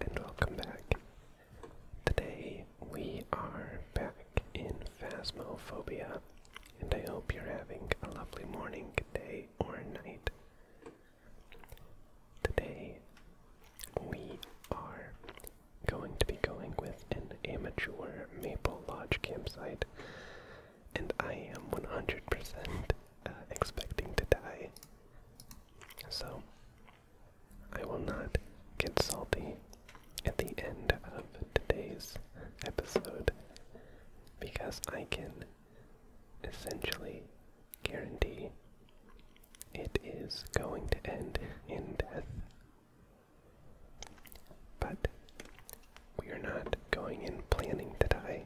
and welcome back. Today we are back in Phasmophobia, and I hope you're having a lovely morning, day, or night. Today we are going to be going with an amateur Maple Lodge campsite, and I am 100% uh, expecting to die. So I will not get salty at the end of today's episode because I can essentially guarantee it is going to end in death. But we are not going in planning to die.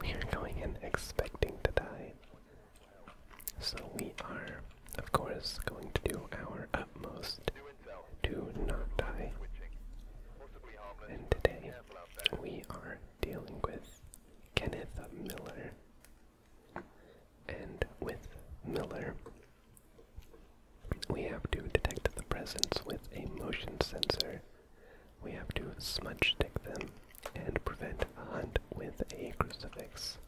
We are going in expecting to die. So we are, of course, going to do our utmost to not die. And today we are dealing with Kenneth Miller. And with Miller, we have to detect the presence with a motion sensor we have to smudge stick them and prevent a hunt with a crucifix.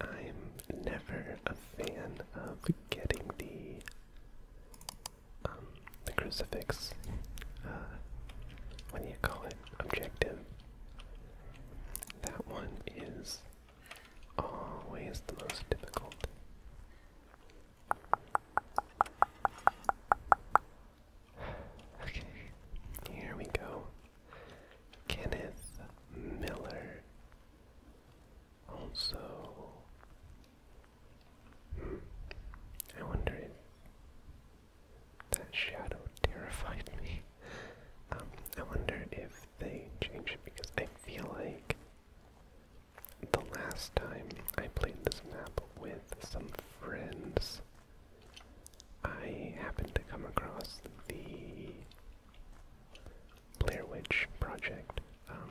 I'm never a fan of getting the um, the crucifix. Uh, what do you call it? Objective. That one is always the most difficult. Okay, here we go. Kenneth Miller. Also, hmm, I wonder if that shadow terrified me. Um, I wonder if they changed it because I feel like the last time I played this map with some friends, I happened to come across the Blair Witch Project um,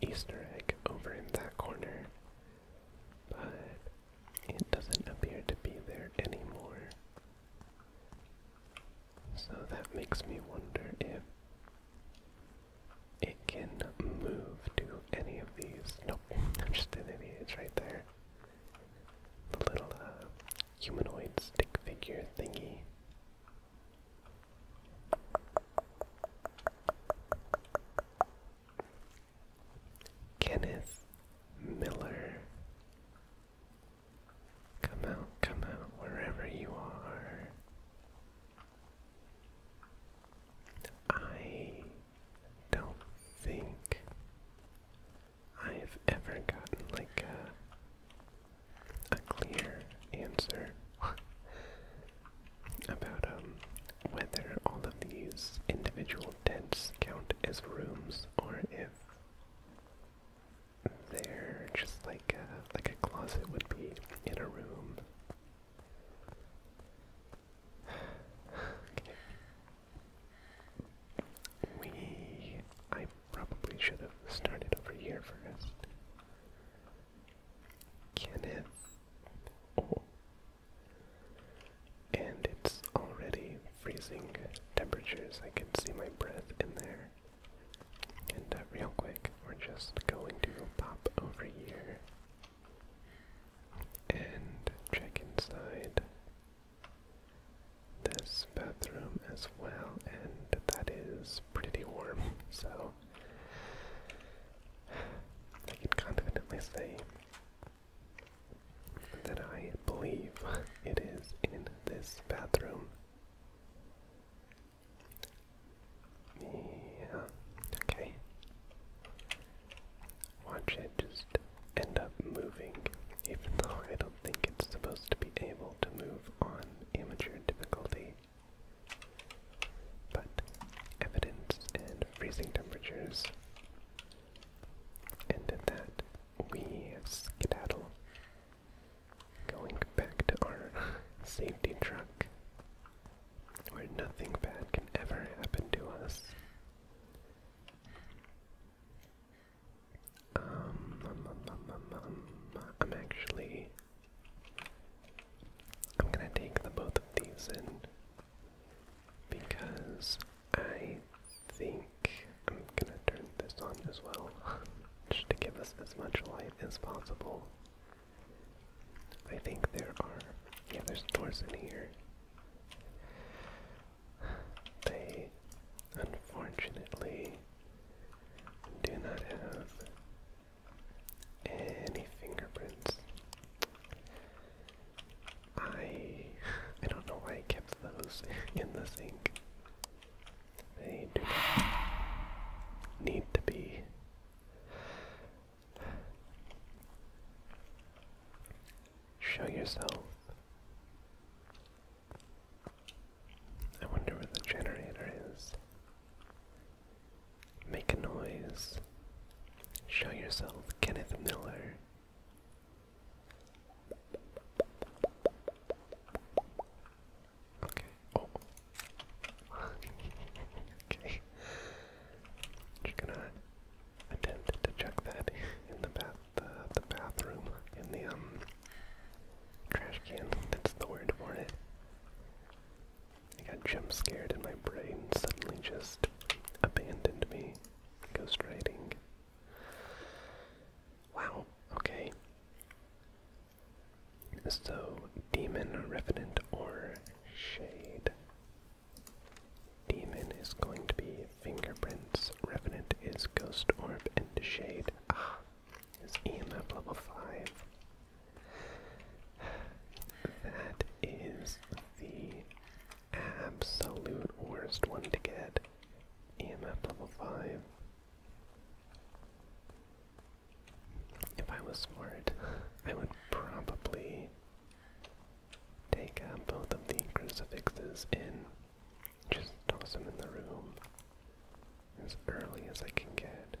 Easter egg over in that corner, but it doesn't appear to be there anymore. So that makes me wonder if it can move to any of these. Nope, just an idiot. It's right there. The little uh, humanoid stick figure thingy. Kenneth Miller. Come out, come out, wherever you are. I don't think I've ever gotten like a a clear answer about um whether all of these individual tents count as rooms or if they're just like a like a closet would be in a room We I probably should have started over here first. Kenneth. Oh. And it's already freezing temperatures. I can see my breath in there. And uh, real quick, we're just going to pop over here and check inside this bathroom as well, and that is pretty warm, so I can confidently say that I believe it is in this bathroom yeah. Okay. Watch it just end up moving, even though I don't think it's supposed to be able to move on amateur difficulty. But evidence and freezing temperatures. And that, we skedaddle. Going back to our safety truck, where nothing bad can ever happen to us. Um, um, um, um I'm actually. I'm gonna take both of these in because I think I'm gonna turn this on as well, just to give us as much light as possible. I think there are. Yeah, there's doors in here. They unfortunately do not have any fingerprints. I I don't know why I kept those in the sink. They do need to be. Show yourself. I wonder where the generator is. Make a noise. Show yourself, Kenneth Miller. Okay. Oh. okay. Just gonna attempt to check that in the bath, uh, the, bathroom, in the um trash can. That's the word for it. I got jump scared, and my brain suddenly just abandoned me. Ghost Ghostwriting. Wow. Okay. So, Demon, Revenant, or Shade. Demon is going to be Fingerprints, Revenant is Ghost Orb, and Shade ah, is EMF level 5. That is the absolute worst one to get. EMF level 5. If I was smart, I would probably take uh, both of the crucifixes and just toss them in the room as early as I can get.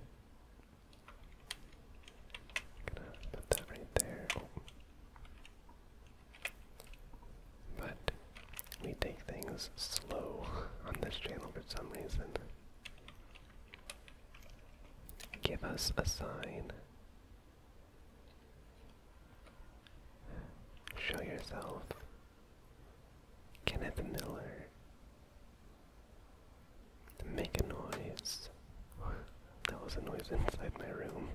gonna put that right there. Oh. But we take things slow on this channel for some reason. Give us a sign. Show yourself. Kenneth Miller. Make a noise. That was a noise inside my room.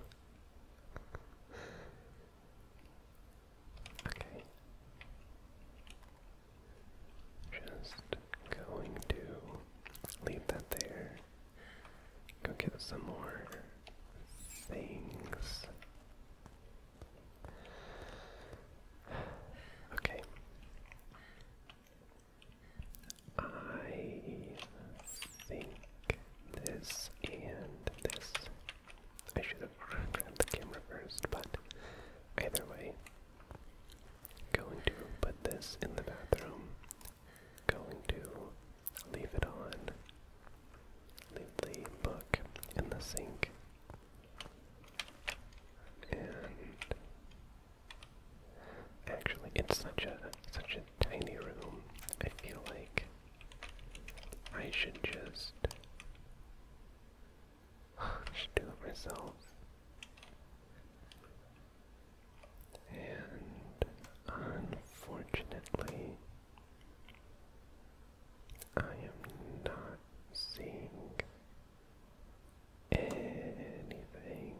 Okay. Just going to leave that there. Go get some more things. Okay. I think this and this I should have grabbed the camera first, but either way, going to put this in the bathroom, going to leave it on, leave the book in the sink, and actually, it's such a such a tiny room. I feel like I should just do it myself. And unfortunately, I am not seeing anything.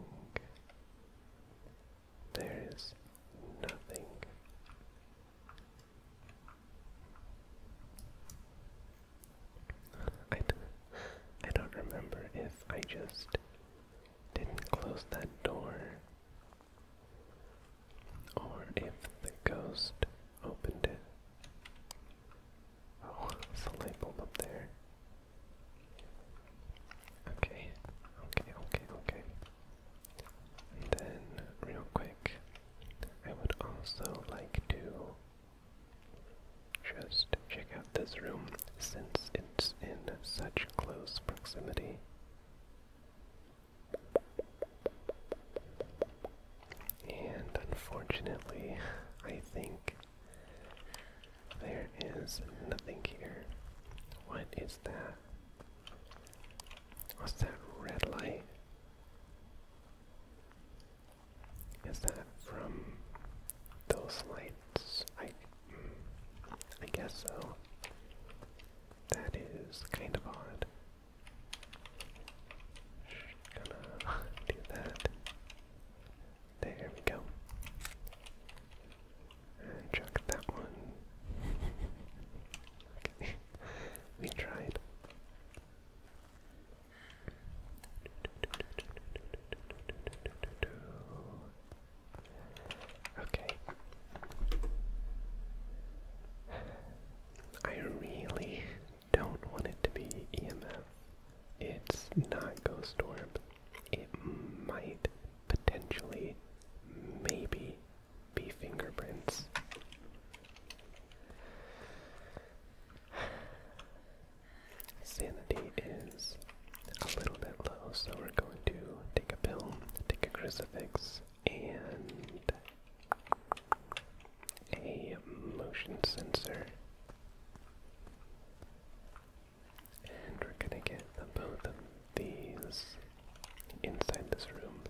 There is nothing I, don't remember if I just didn't close that door or if the ghost opened it. Oh, there's a light bulb up there. Okay, okay, okay, okay. And then, real quick, I would also like to just check out this room since it's in such close proximity. And unfortunately, I think there is nothing here. What is that? What's that red light? Is that from those lights? I, hmm, I guess so. That is kind of odd. Gonna do that. There we go. And chuck that one. okay we tried. Okay. I really don't want it to be EMF. It's not Ghost Storm. It might potentially, maybe, be fingerprints. Sanity is a little bit low, so we're going to take a pill, take a crucifix, and a motion sensor. And we're gonna get both of these inside this room.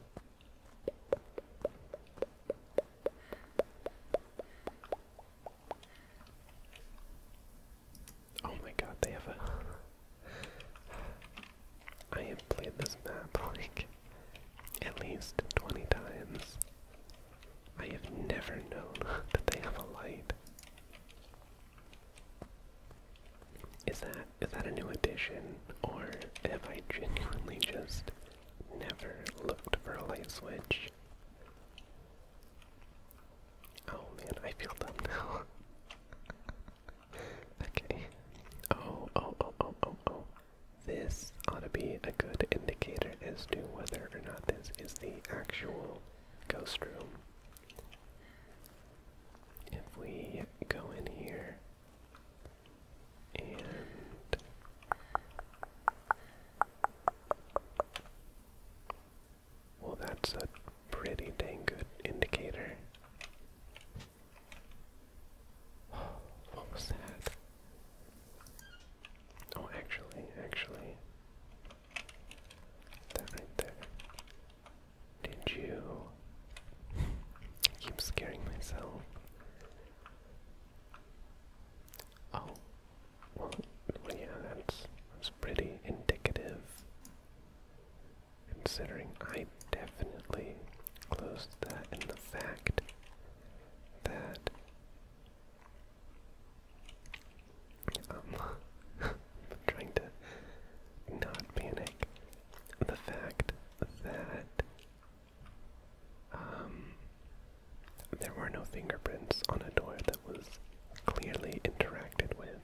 Oh my god, they have a I have played this map like at least 20 times. I have never known that they have a light. Is that is that a new addition, or have I genuinely just never looked for a light switch? Oh man, I feel dumb now. okay. Oh, oh, oh, oh, oh, oh. This ought to be a good indicator as to whether or not this is the actual ghost room. If we go in here well, that's a pretty dang good indicator. What was that? Oh, actually, actually, that right there. Did you keep scaring myself? Oh, well, yeah, that's, that's pretty indicative. Considering I definitely closed that and the fact that um trying to not panic. The fact that um, there were no fingerprints on a door that was clearly interacted with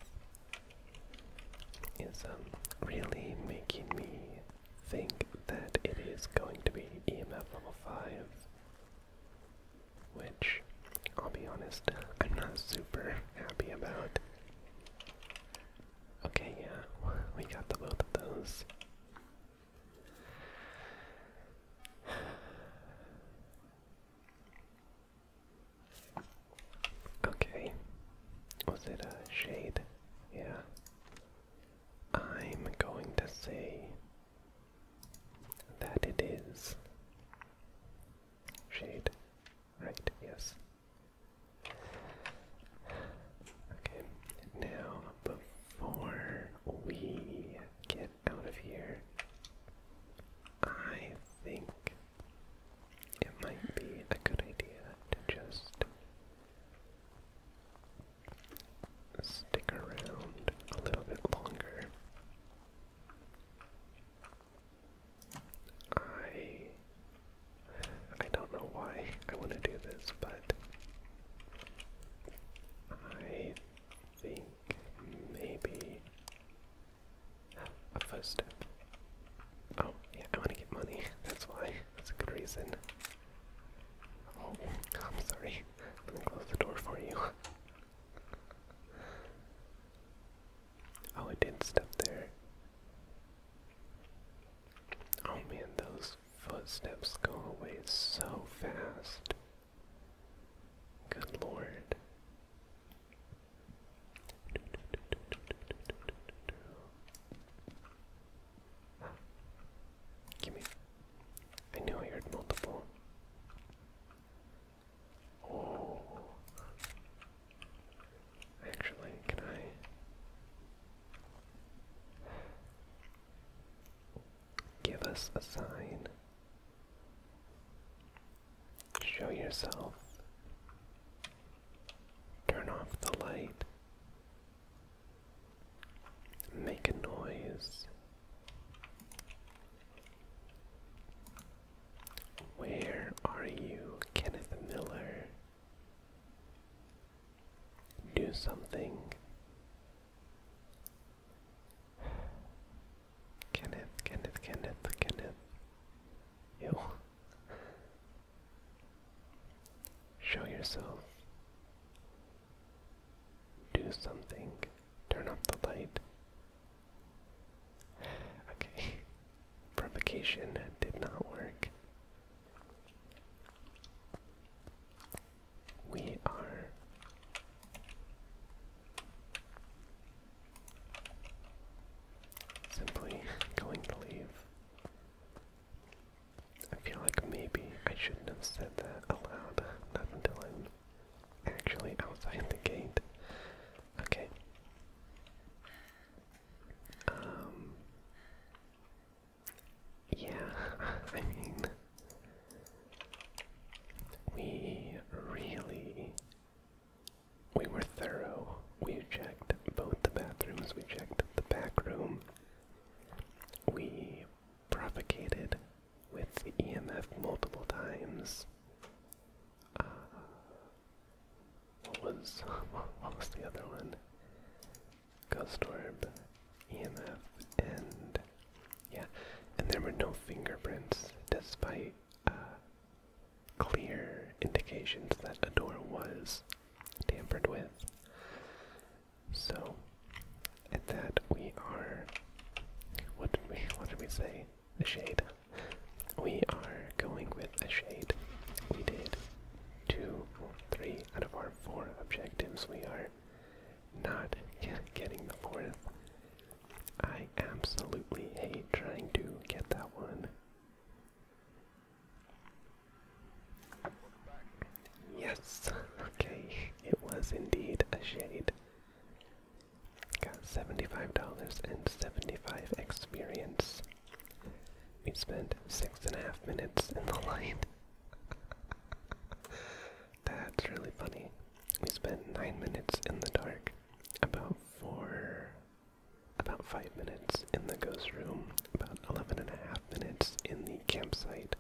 is um, really making me think that it is going to be EMF level 5, which I'll be honest, I'm not super happy about. Okay, yeah, we got the both of those. Okay. Was it a shade? Yeah. I'm going to say that it is shade Right, yes. Okay, now before we get out of here, I think it might be a good idea to just stick around a little bit longer. I I don't know why I want to do this, but I think maybe a first Oh, yeah, I want to get money. That's why. That's a good reason. Oh, I'm sorry. Let me close the door for you. Oh, I did step there. Oh man, those footsteps go away so fast. Good lord. Give me. I knew I heard multiple. Oh. Actually, can I give us a sign? Show yourself. Turn off the light. Make a noise. Where are you, Kenneth Miller? Do something. Kenneth, Kenneth, Kenneth, Kenneth. Ew. Show yourself. Do something. Turn up the light. Okay. Provocation did not work. We are simply going to leave. I feel like maybe I shouldn't have said that aloud, not until I'm actually outside the gate. Okay. Um. Yeah, I mean, we really. We were thorough. We checked both the bathrooms, we checked the back room. We propagated with the EMF multiple times. Uh, what was what was the other one? Ghost EMF, and yeah, and there were no fingerprints despite uh, clear indications that a door was tampered with. So at that we are. What did we what did we say? a shade. We are going with a shade. We did two, three out of our four objectives. We are not getting the fourth. I absolutely hate trying to get that one. Yes, okay, it was indeed a shade. Got $75 and 75 experience. We spent six and a half minutes in the light. That's really funny. We spent nine minutes in the dark, about four, about five minutes in the ghost room, about eleven and a half minutes in the campsite,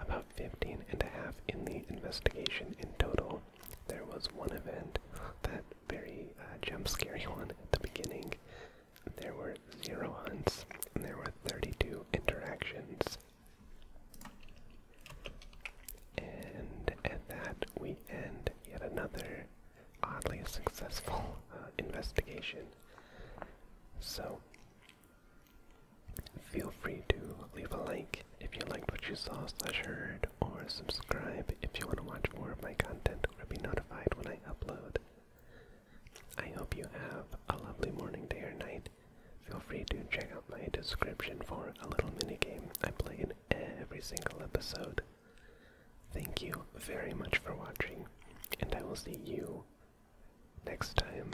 about 15 and a half in the investigation in total. There was one event, that very uh, jump scary one at the beginning. There were zero hunts, and there were 32 interactions. And at that, we end yet another oddly successful uh, investigation. So, Feel free to leave a like if you liked what you saw or heard, or subscribe if you want to watch more of my content or be notified when I upload. I hope you have a lovely morning, day, or night. Feel free to check out my description for a little mini game I play in every single episode. Thank you very much for watching, and I will see you next time.